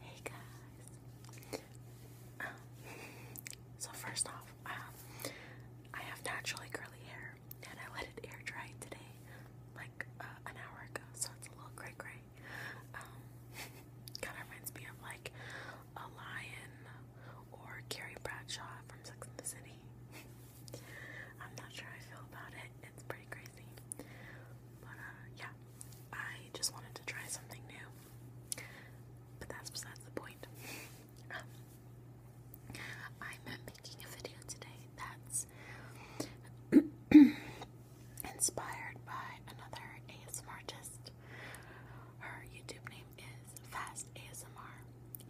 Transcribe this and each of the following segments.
Hey guys. Um, so first off, um, I have naturally curly hair, and I let it air dry today, like uh, an hour ago. So it's a little gray, gray. Um, kind of reminds me of like a lion or Carrie Bradshaw from Sex and the City. I'm not sure I feel about it. It's pretty crazy. Uh, yeah, I just wanted to try something new. But that's besides the point. I'm making a video today that's inspired by another ASMR artist. Her YouTube name is Fast ASMR,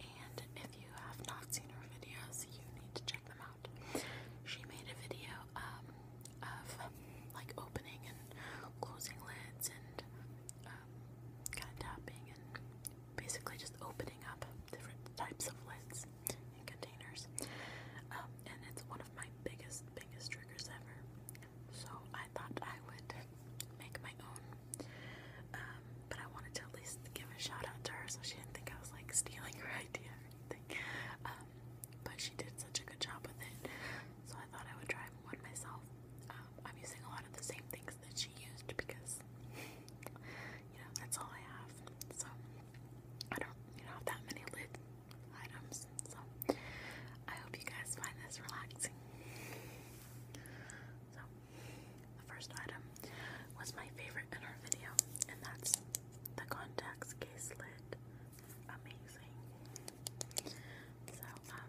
and if you have not seen her videos, you need to check them she made a video um, of like opening and closing lids and um, kind of tapping and basically just opening up different types of lids and containers. Um, and it's one of my biggest, biggest triggers ever. So I thought I would make my own. but I wanted to at least give a shout out to her so she didn't think I was like stealing her idea anything. Um, but she did such a good job with it, so I thought I would try one myself. Um, I'm using a lot of the same things that she used because, you know, that's all I have. So I don't, you know, have that many lid items. So I hope you guys find this relaxing. So the first item was my favorite in her video, and that's the contacts case lid. Amazing. So, um,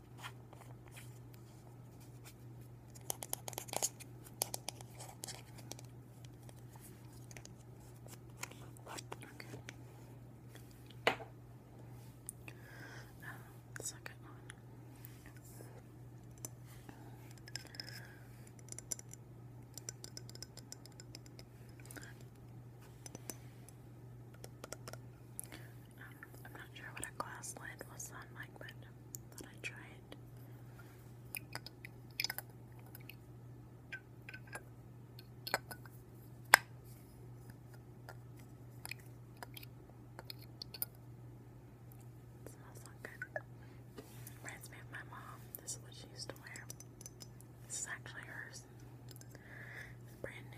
Okay. Um, second one. I'm not sure what a glass lid was on mine, but I thought smells not good. Reminds me of my mom. This is what she used to wear. This is actually hers. It's brand new.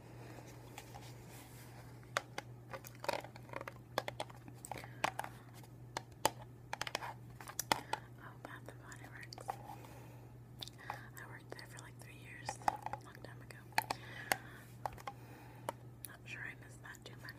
Oh, Bath and Body Works. I worked there for like three years, a long time ago. Not sure I missed that too much.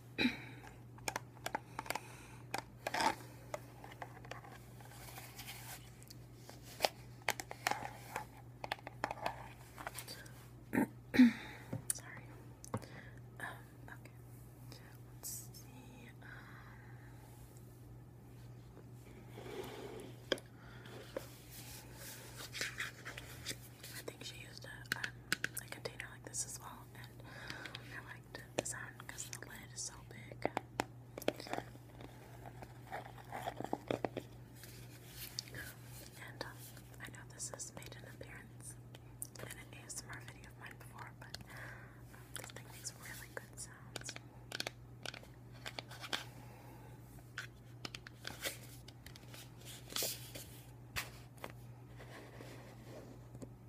Sorry. Um, okay. Let's see. Um, I think she used um, a, container like this as well, and design because the lid is so big. And uh, I know this has made an appearance in an ASMR video of mine before, but um, this thing makes really good sounds.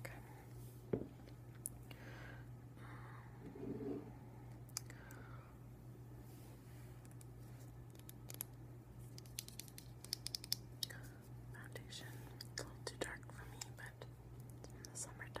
Okay. Foundation. a little too dark for me, but it's in the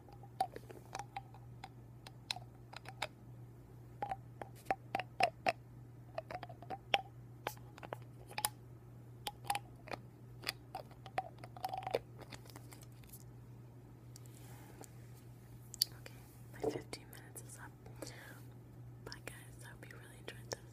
Okay, my 15 minutes is up. Bye guys, I hope you really enjoyed this.